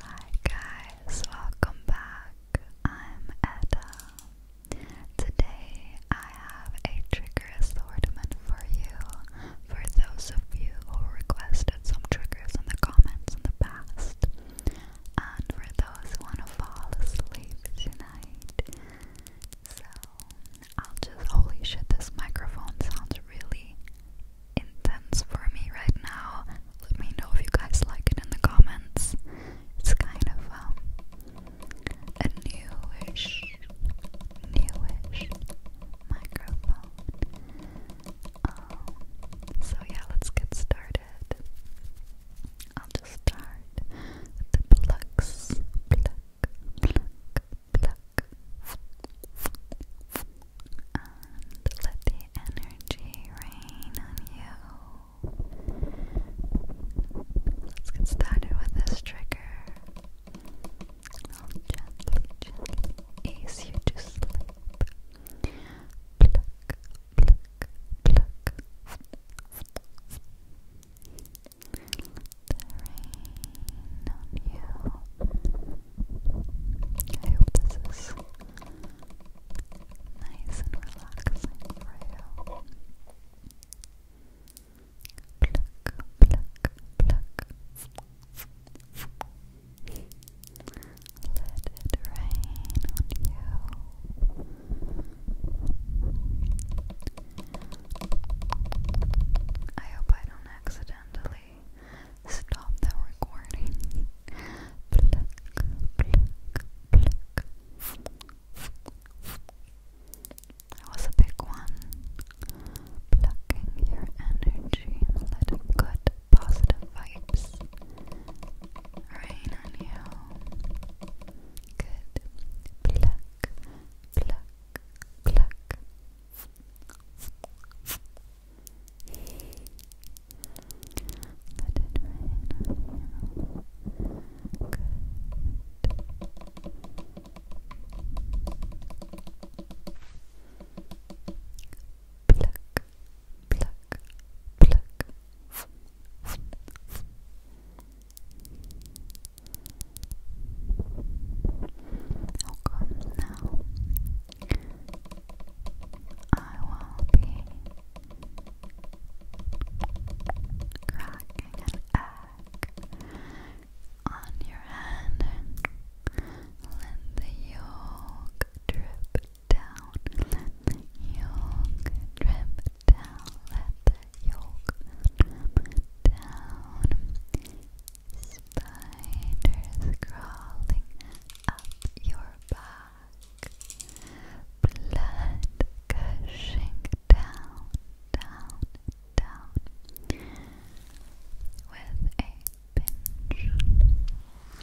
Hi guys, welcome back. I'm Edda. Today I have a trigger assortment for you for those of you who requested some triggers in the comments in the past and for those who want to fall asleep tonight. So, I'll just. Holy shit, this microphone sounds really intense for me right now. Let me know if you guys like it in the comments. It's kind of um, a newish, newish microphone. Um, so, yeah, let's get started. I'll just start the plucks. Pluck, pluck, And let the energy rain on you. Let's get started with this trigger. I'll gently ease you to sleep pluck, pluck, pluck the on you. I hope this is nice and relaxing for you. Pluck, pluck, pluck. Let it rain on you. I hope I don't accidentally stop the recording. That was a big one. Plucking your energy let it good positive vibes rain on you. Good. Pluck, pluck, pluck. Let it rain on you pluck, pluck. Okay, now I will be cracking an egg on your hand. Let the yolk drip, down, let yolk drip down, let the yolk down. Spiders crawling up your back, blood gushing down, down, down with a pinch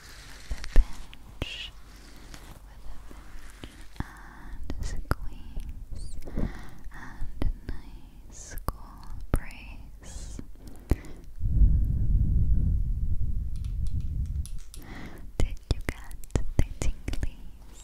the pinch, with a pinch, and squeeze, and a nice cool brace. Did you get the tinglies? Got the tinglies.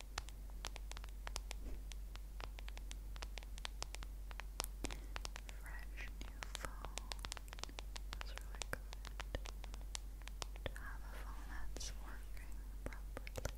Fresh new phone. That's really good. To have a phone that's working properly. Good.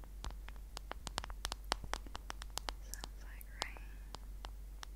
Sounds like rain. Sounds like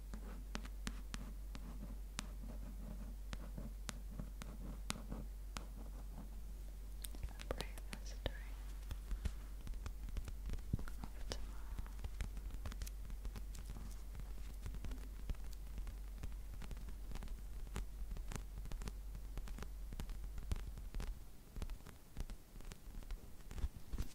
A brave history of tomorrow.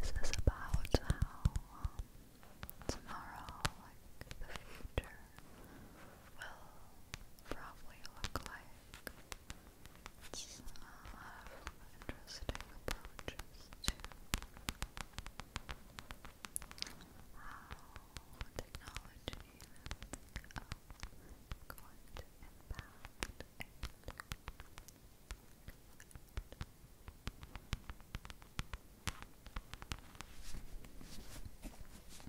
This is about how um, tomorrow, like the future, will probably look like. a lot of interesting approaches to how technology is going to impact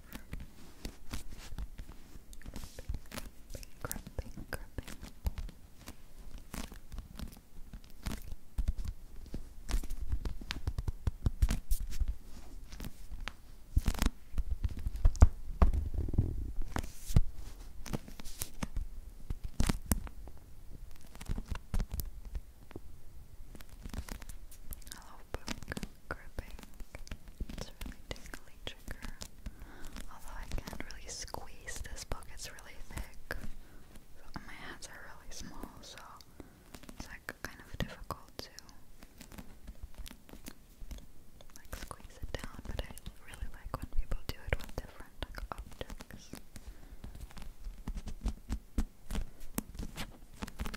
Crapping, crapping, crapping. I love pink gripping. It's really tingly Although I can't really squeeze this book, it's really thick. my hands are really small, so it's like kind of difficult to like squeeze it down. But I really like when people do it with different objects.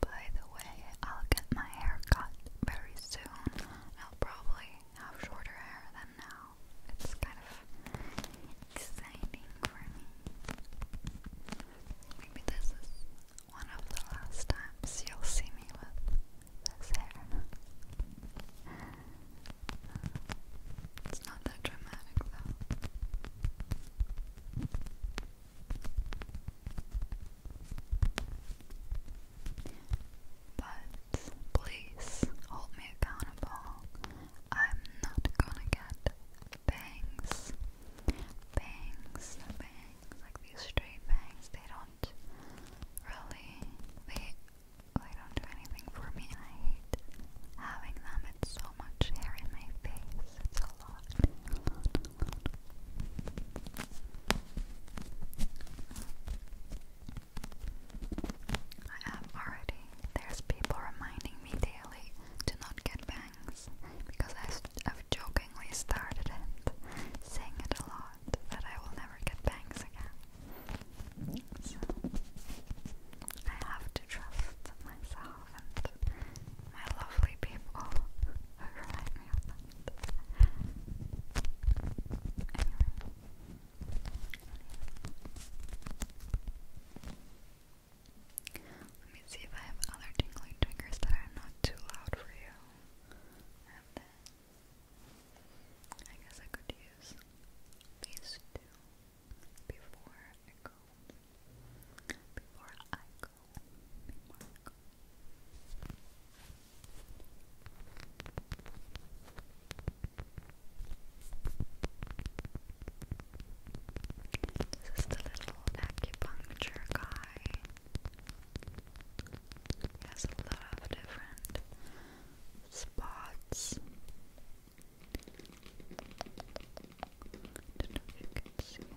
By the way, I'll get my hair cut very soon. I'll probably have shorter hair than now. It's kind of exciting for me. Maybe this is one of the last times you'll see me with this hair. It's not that dramatic though. But please hold me accountable. I'm not gonna get bangs. Bangs, like these straight bangs, they don't really, they, they don't do anything for me I hate having them. It's so much hair in my face. It's a lot. I am already, there's people reminding me daily to not get bangs because I've, jokingly started it, sing it a lot, that I will never get bangs again. So I have to trust myself and my lovely people who remind me of that. Anyway. Let me see if I have other tingling triggers that are not too loud for you and then I guess I could use these two before I go. Before I go. Before I go. This is the little acupuncture guy. It has a lot of different spots. you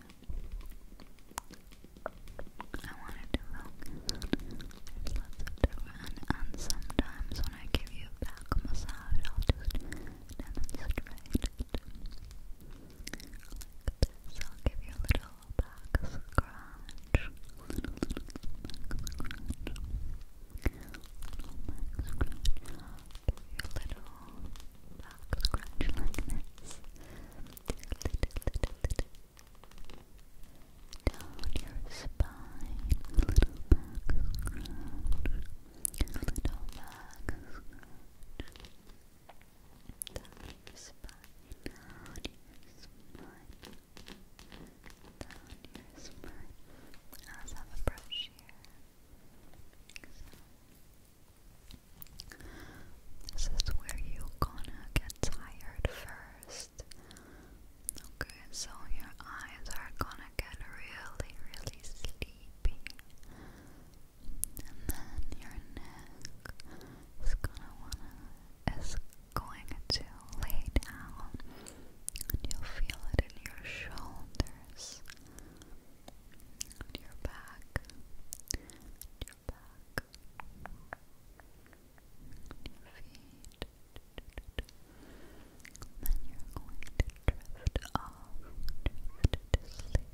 I wanted to focus on lots of different and sometimes when I give you a back massage I'll just demonstrate it this, I'll give you a little back scratch. A little, little back scratch. A little back scratch. I'll give you a little back scratch like this. Little, little, little. Down your spine, a little back scratch, a little back scratch, down your spine, down your spine, down your spine. I also have a brush here. this is where you gonna get tired first. Okay, so your eyes are gonna get really, really sleepy and then your neck is gonna lay down and you'll feel it in your shoulders your back your back your feet then you're going to drift off to sleep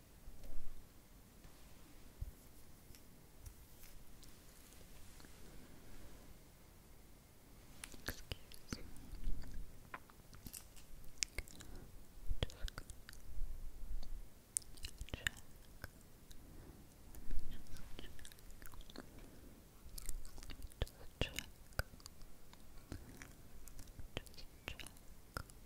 Excuse me. Just go check. Let me just check. Let me just check. Let me just check.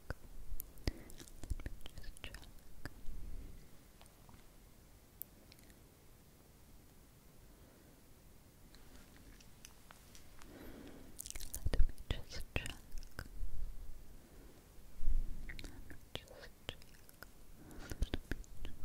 just check. Let me just check. Let me just check. Let me just check. Let me check.